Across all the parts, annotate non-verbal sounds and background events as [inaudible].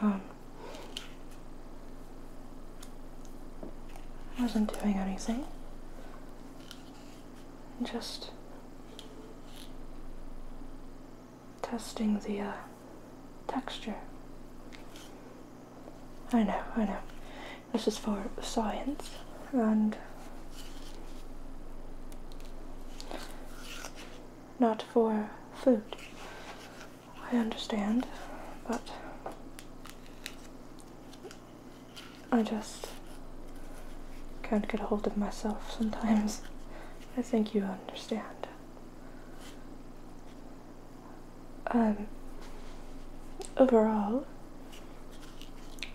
Um, I wasn't doing anything. Just testing the uh, texture. I know, I know. This is for science and not for food. I understand, but I just can't get a hold of myself sometimes. I think you understand. Um, overall,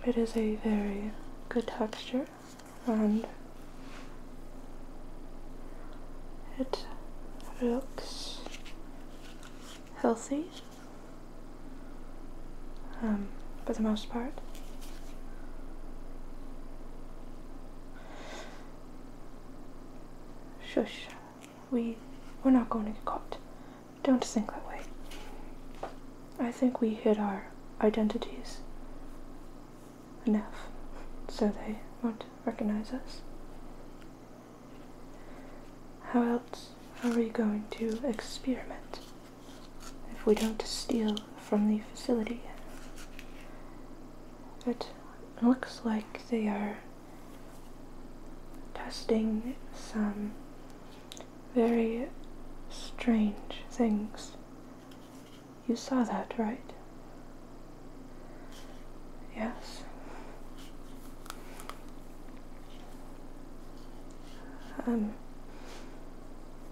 it is a very good texture and it looks healthy um, for the most part. Shush, we, we're not going to get caught. Don't think that way. I think we hid our identities enough so they won't recognize us. How else are we going to experiment if we don't steal from the facility? It looks like they are testing some very strange things you saw that, right? Yes. Um,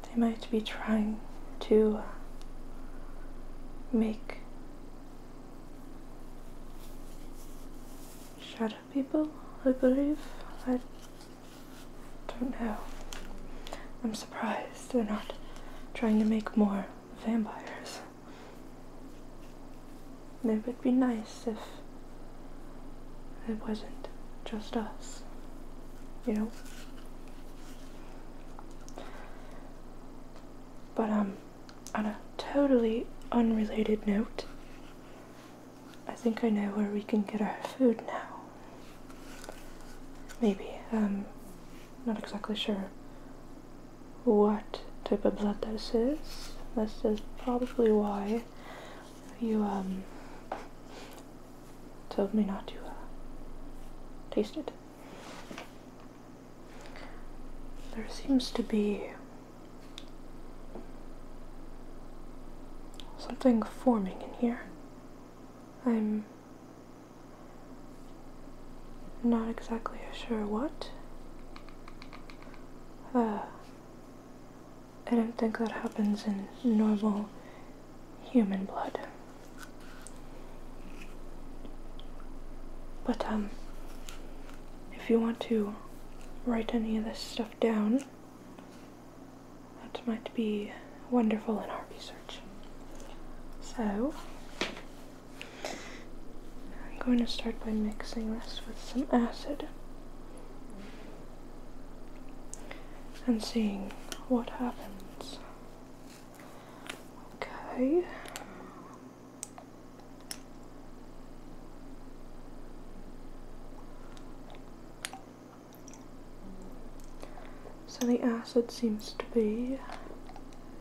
they might be trying to uh, make shadow people, I believe don't know. I'm surprised they're not trying to make more vampires. And it would be nice if it wasn't just us, you know? But, um, on a totally unrelated note, I think I know where we can get our food now. Maybe. Um, not exactly sure what type of blood this is. This is probably why you um, told me not to uh, taste it. There seems to be something forming in here. I'm not exactly sure what. Uh, I don't think that happens in normal human blood. But, um, if you want to write any of this stuff down, that might be wonderful in our research. So, I'm going to start by mixing this with some acid and seeing what happens. Okay. So the acid seems to be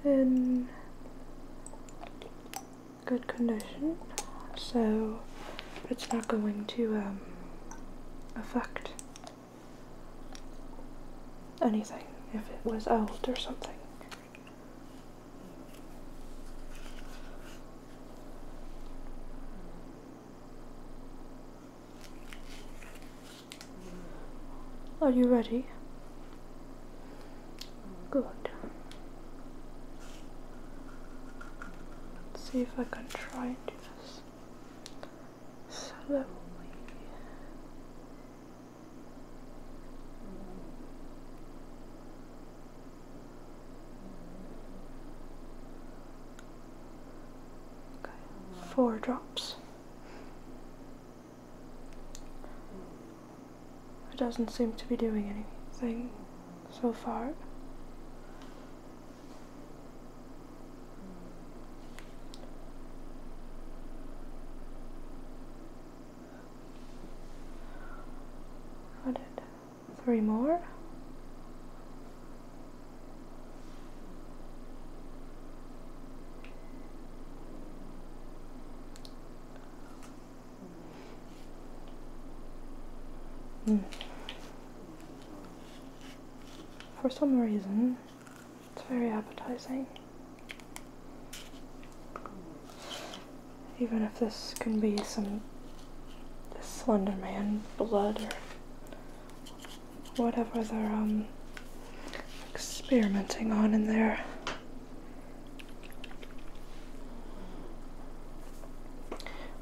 in good condition, so it's not going to um, affect anything if it was old or something. Are you ready? Good. Let's see if I can try and do this slowly four drops. It doesn't seem to be doing anything so far. Got it three more mm. for some reason it's very appetizing even if this can be some Slender Man blood or whatever they're um, experimenting on in there.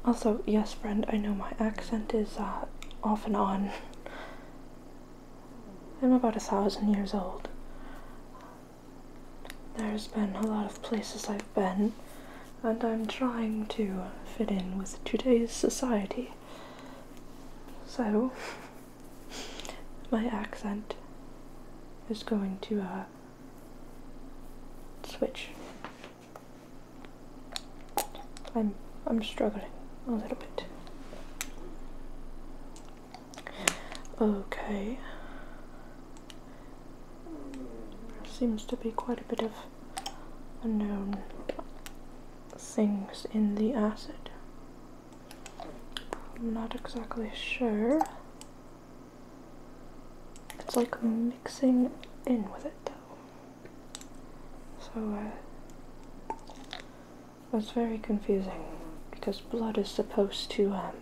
Also, yes, friend, I know my accent is uh, off and on. I'm about a thousand years old. There's been a lot of places I've been, and I'm trying to fit in with today's society. So, my accent is going to uh, switch. I'm I'm struggling a little bit. Okay. Seems to be quite a bit of unknown things in the acid. I'm not exactly sure. It's like mixing in with it though. So uh, that's very confusing because blood is supposed to um,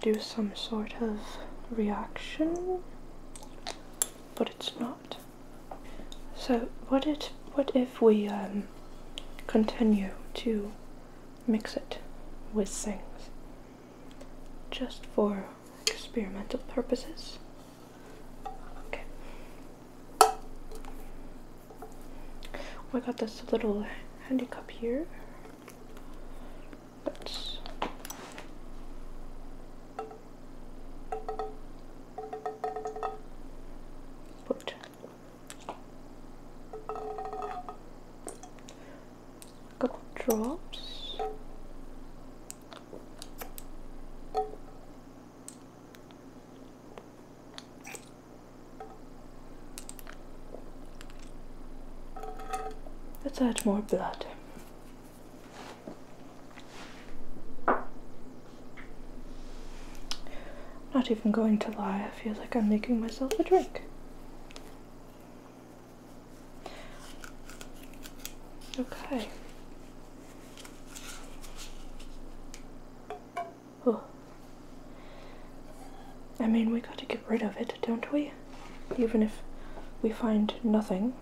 do some sort of reaction but it's not. So what it what if we um, continue to mix it with things just for experimental purposes? Okay. We got this little handicap here Let's put a couple drops. Let's add more blood. Not even going to lie, I feel like I'm making myself a drink. Okay. Oh. I mean, we gotta get rid of it, don't we? even if we find nothing.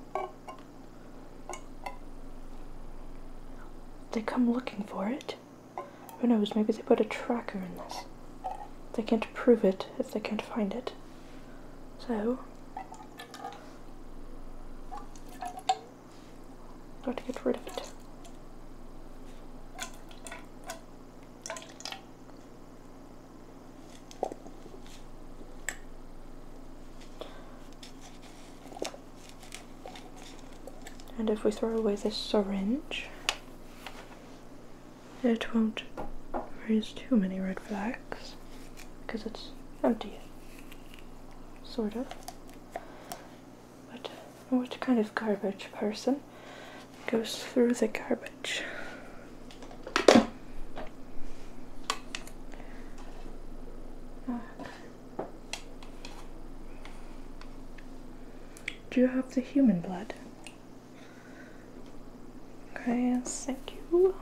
They come looking for it. Who knows, maybe they put a tracker in this. They can't prove it if they can't find it. So, got to get rid of it. And if we throw away this syringe, it won't raise too many red flags because it's empty, sort of. But what kind of garbage person goes through the garbage. Do you have the human blood? Okay, yes, thank you.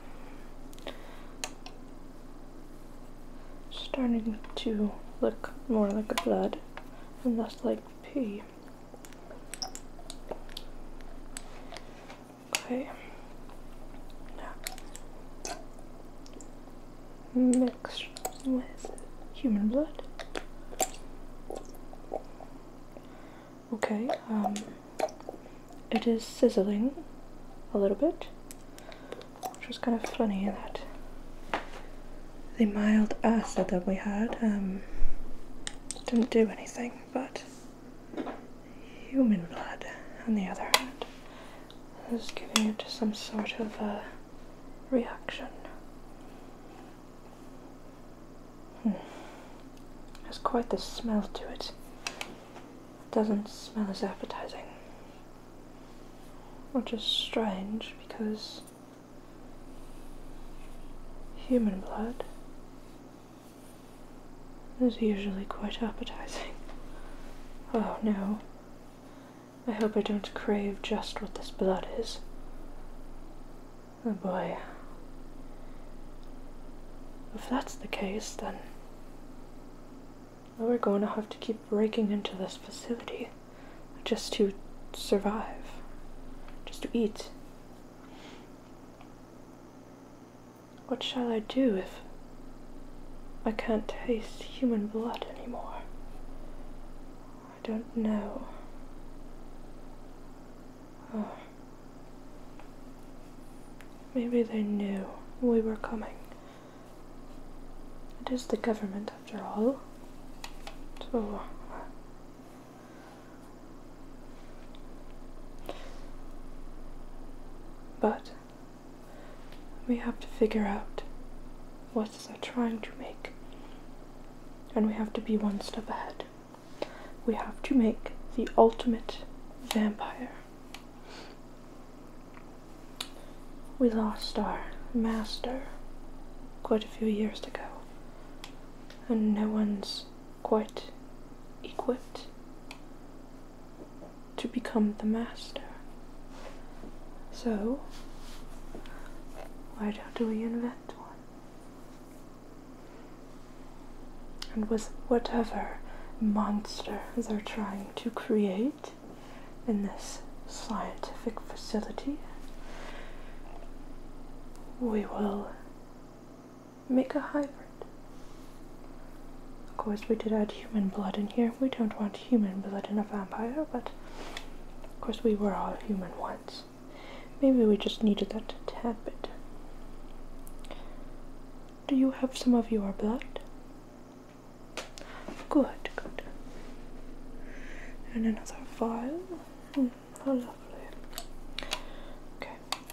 Starting to look more like blood and less like pee. Okay. Now, mixed with human blood. Okay, um, it is sizzling a little bit, which was kind of funny that the mild acid that we had um, didn't do anything, but human blood, on the other hand, is giving it some sort of uh, reaction. Hmm. Has quite the smell to it. It doesn't smell as appetizing. Which is strange because human blood is usually quite appetizing. Oh no. I hope I don't crave just what this blood is. Oh boy. If that's the case, then we're going to have to keep breaking into this facility just to survive, just to eat. What shall I do if I can't taste human blood anymore? I don't know. Oh. Maybe they knew we were coming. It is the government, after all. So, but we have to figure out what they're trying to make. And we have to be one step ahead. We have to make the ultimate vampire. We lost our master quite a few years ago, and no one's quite equipped to become the master. So, why don't we invent one? And with whatever monster they're trying to create in this scientific facility, we will Make a hybrid. Of course, we did add human blood in here. We don't want human blood in a vampire, but of course, we were all human once. Maybe we just needed that tad bit. Do you have some of your blood? Good, good. And another vial. Hmm. How oh, lovely. Okay,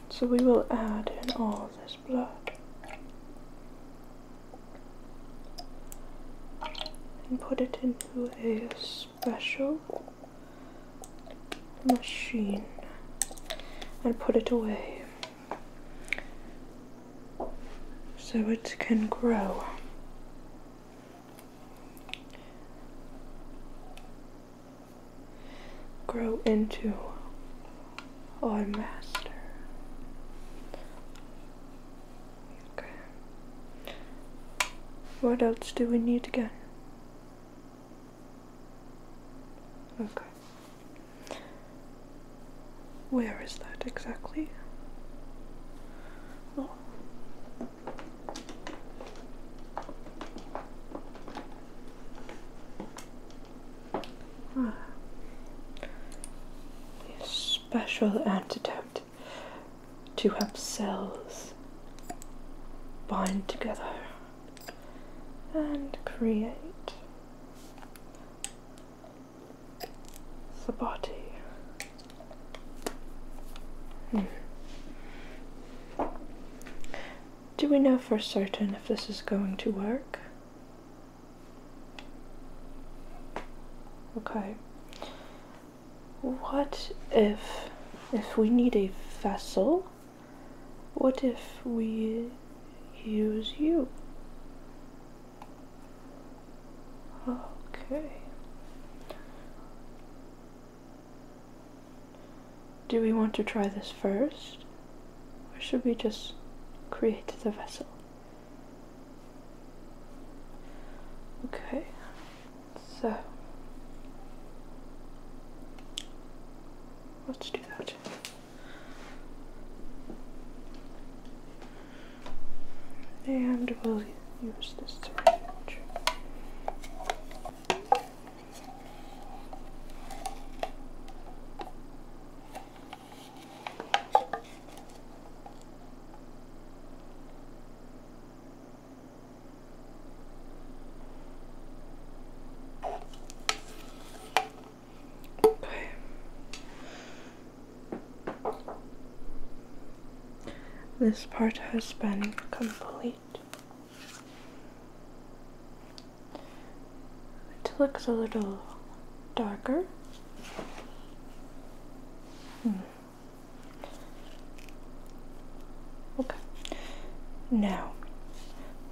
so we will add in all this blood and put it into a special machine and put it away so it can grow grow into our master. Okay. What else do we need again? Okay. Where is that exactly? Oh. [sighs] A special antidote to help cells bind together and create the body Hmm. Do we know for certain if this is going to work? Okay. What if, if we need a vessel, what if we use you? Okay. Do we want to try this first? Or should we just create the vessel? Okay, so let's do that. And we'll use this syringe. Okay. This part has been complete. It looks a little darker. Hmm. Okay. Now,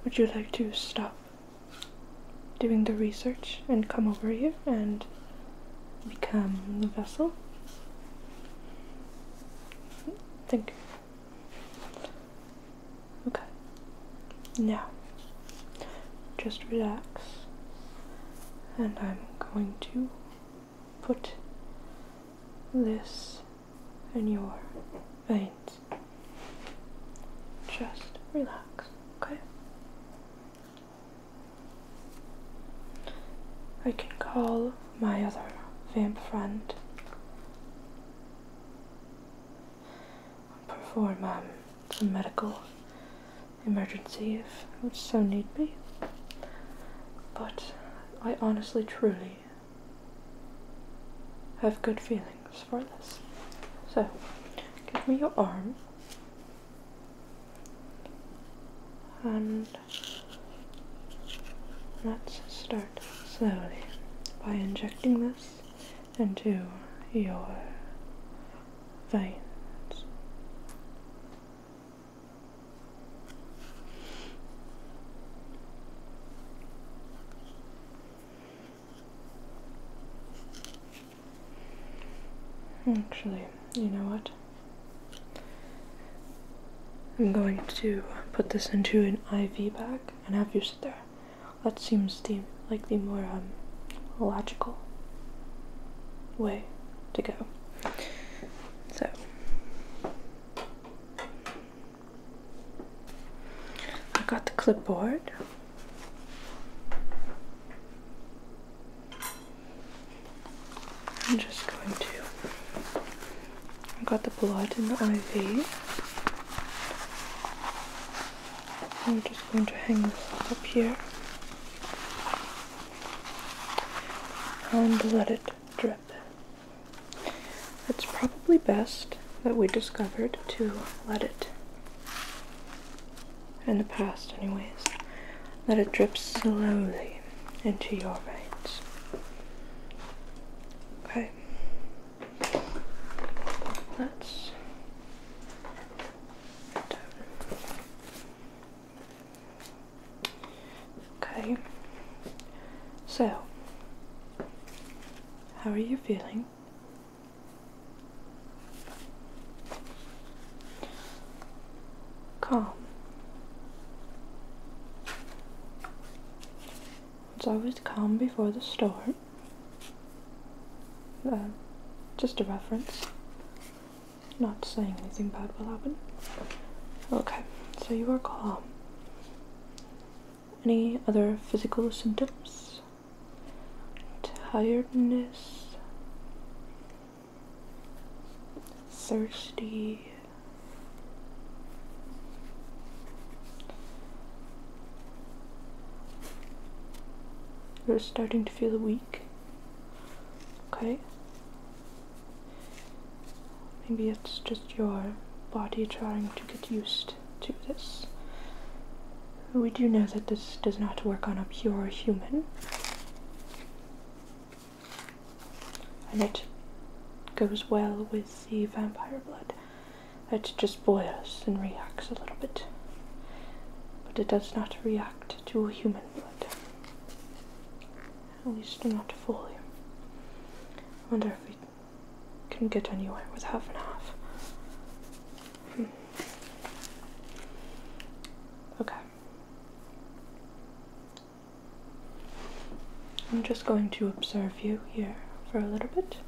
would you like to stop doing the research and come over here and become the vessel? Thank you. Okay. Now, just relax, and I'm going to put this in your veins. Just relax, okay? I can call my other vamp friend perform um, some medical emergency if it so need be. But I honestly, truly have good feelings for this. So, give me your arm. And Let's start slowly by injecting this into your veins. Actually, you know what? I'm going to put this into an IV bag and have you sit there. That seems the like the more um, logical way to go. So I got the clipboard. I'm just going to. I have got the blood in the IV. I'm just going to hang this up here and let it drip. It's probably best that we discovered to let it in the past anyways let it drip slowly into your veins. Okay. Let's Okay. So, how are you feeling? calm. It's always calm before the storm. Uh, just a reference. Not saying anything bad will happen. Okay, so you are calm. Any other physical symptoms? Tiredness? thirsty. You're starting to feel weak. Okay. Maybe it's just your body trying to get used to this. We do know that this does not work on a pure human and it goes well with the vampire blood. It just boils and reacts a little bit, but it does not react to human blood. At least not fully. I wonder if we can get anywhere with half and half. Hmm. Okay. I'm just going to observe you here for a little bit.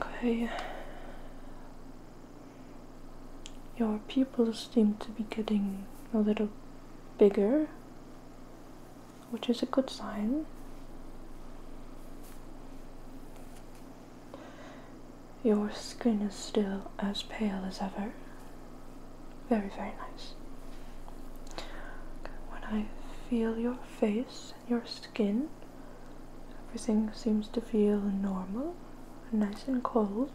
Okay. Your pupils seem to be getting a little bigger, which is a good sign. Your skin is still as pale as ever. Very, very nice. when I feel your face and your skin, everything seems to feel normal, nice and cold.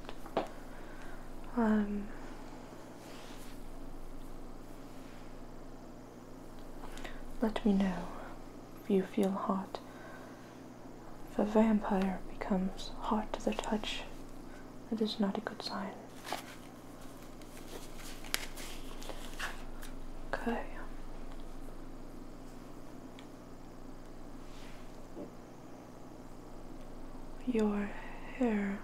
Um, let me know if you feel hot if a vampire becomes hot to the touch, that is not a good sign. Okay. Your hair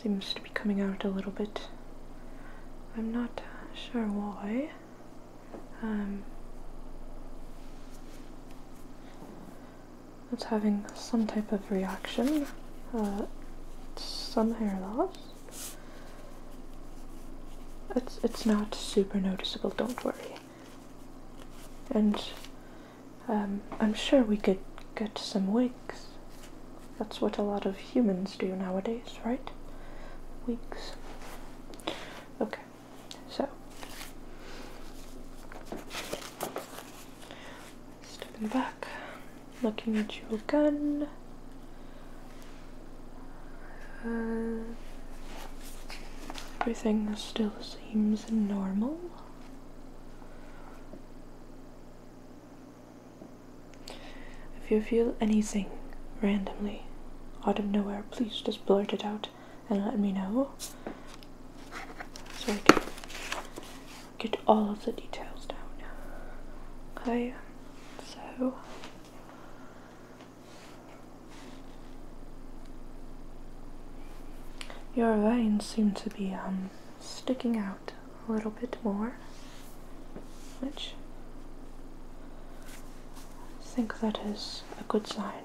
seems to be coming out a little bit. I'm not sure why. Um, it's having some type of reaction, uh, some hair loss. It's, it's not super noticeable, don't worry. And um, I'm sure we could get some wigs. That's what a lot of humans do nowadays, right? Wigs. Okay. So, stepping back, looking at your gun. Uh, everything still seems normal. If you feel anything randomly out of nowhere, please just blurt it out and let me know so I can get all of the details down. Okay, so. Your veins seem to be um, sticking out a little bit more, which I think that is a good sign.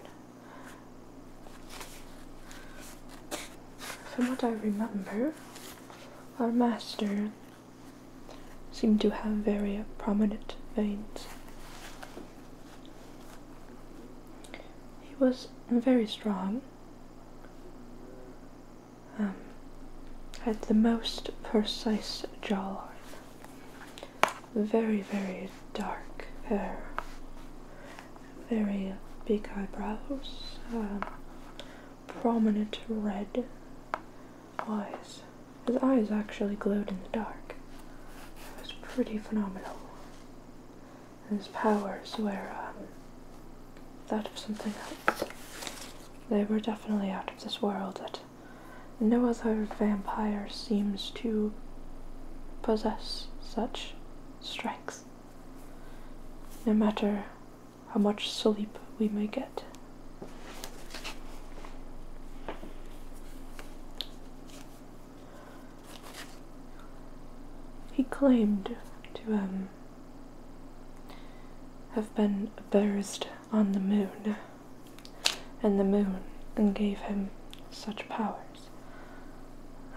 From what I remember, our master seemed to have very prominent veins. He was very strong, um, had the most precise jawline, very, very dark hair, very big eyebrows, um, prominent red eyes. His eyes actually glowed in the dark. It was pretty phenomenal. his powers were um, that of something else. They were definitely out of this world no other vampire seems to possess such strength, no matter how much sleep we may get. He claimed to um, have been a burst on the moon and the moon and gave him such powers.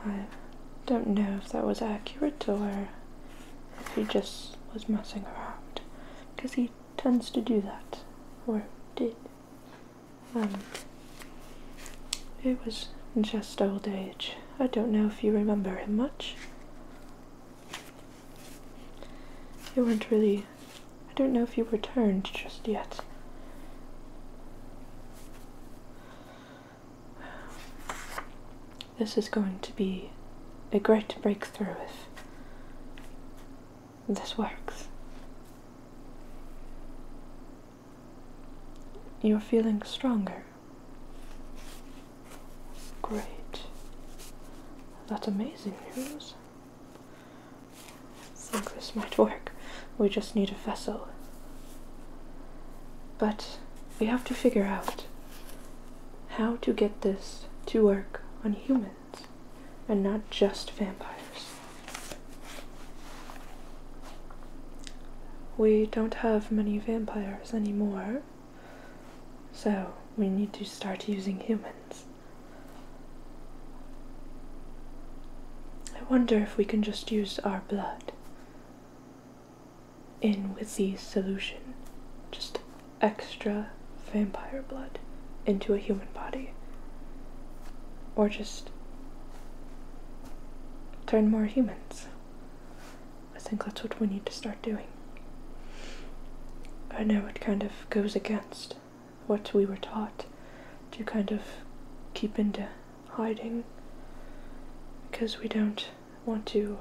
I don't know if that was accurate or if he just was messing around, because he tends to do that, or did. and um, it was just old age. I don't know if you remember him much. You weren't really I don't know if you returned just yet. This is going to be a great breakthrough if this works. You're feeling stronger. Great. That's amazing news. I think this might work. We just need a vessel. But we have to figure out how to get this to work on humans and not just vampires. We don't have many vampires anymore, so we need to start using humans. I wonder if we can just use our blood in with the solution. Just extra vampire blood into a human body. Or just turn more humans. I think that's what we need to start doing. I know it kind of goes against what we were taught to kind of keep into hiding because we don't want to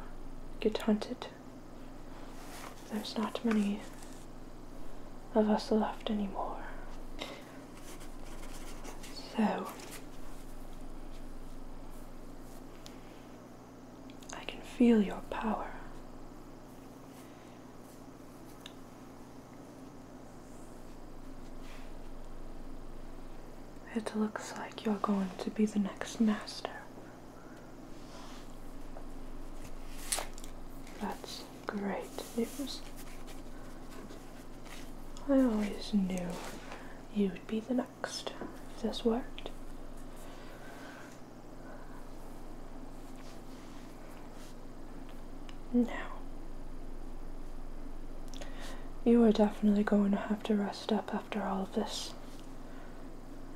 get hunted. There's not many of us left anymore. So, I can feel your power. It looks like you're going to be the next master. That's great news. I always knew you'd be the next if this worked. Now, you are definitely going to have to rest up after all of this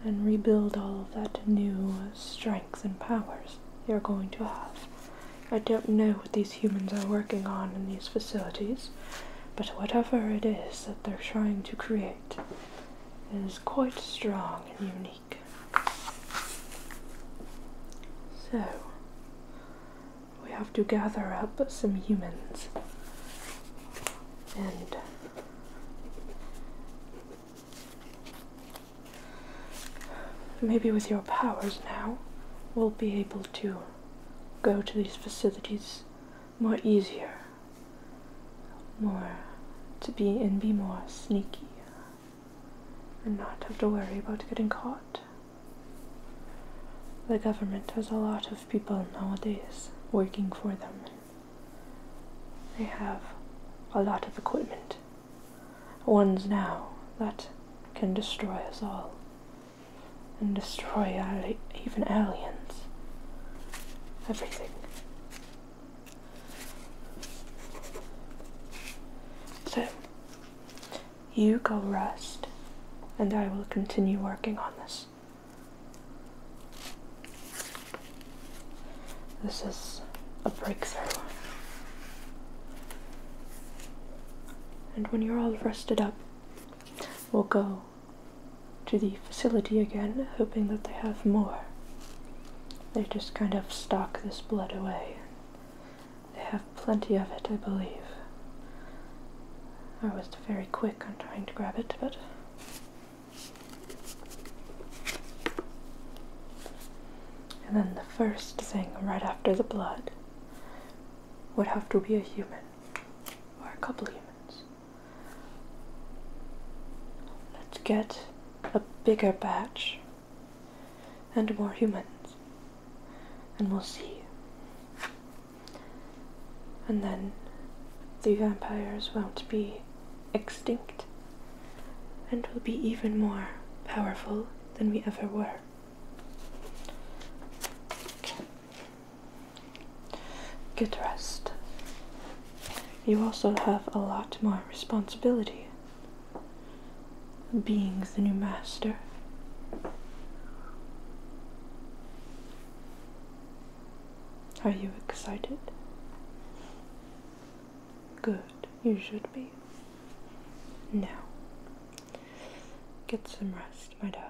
and rebuild all of that new strength and powers you're going to have. I don't know what these humans are working on in these facilities, but whatever it is that they're trying to create is quite strong and unique. So, we have to gather up some humans and maybe with your powers now, we'll be able to go to these facilities more easier, more to be and be more sneaky and not have to worry about getting caught. The government has a lot of people nowadays working for them. They have a lot of equipment, ones now that can destroy us all and destroy even aliens. Everything. So, you go rest, and I will continue working on this. This is a breakthrough. And when you're all rested up, we'll go to the facility again, hoping that they have more they just kind of stock this blood away. They have plenty of it, I believe. I was very quick on trying to grab it, but. And then the first thing right after the blood would have to be a human, or a couple humans. Let's get a bigger batch and more humans, and we'll see. And then the vampires won't be extinct and will be even more powerful than we ever were. Get rest. You also have a lot more responsibility being the new master. Are you excited? Good, you should be. Now, get some rest, my darling.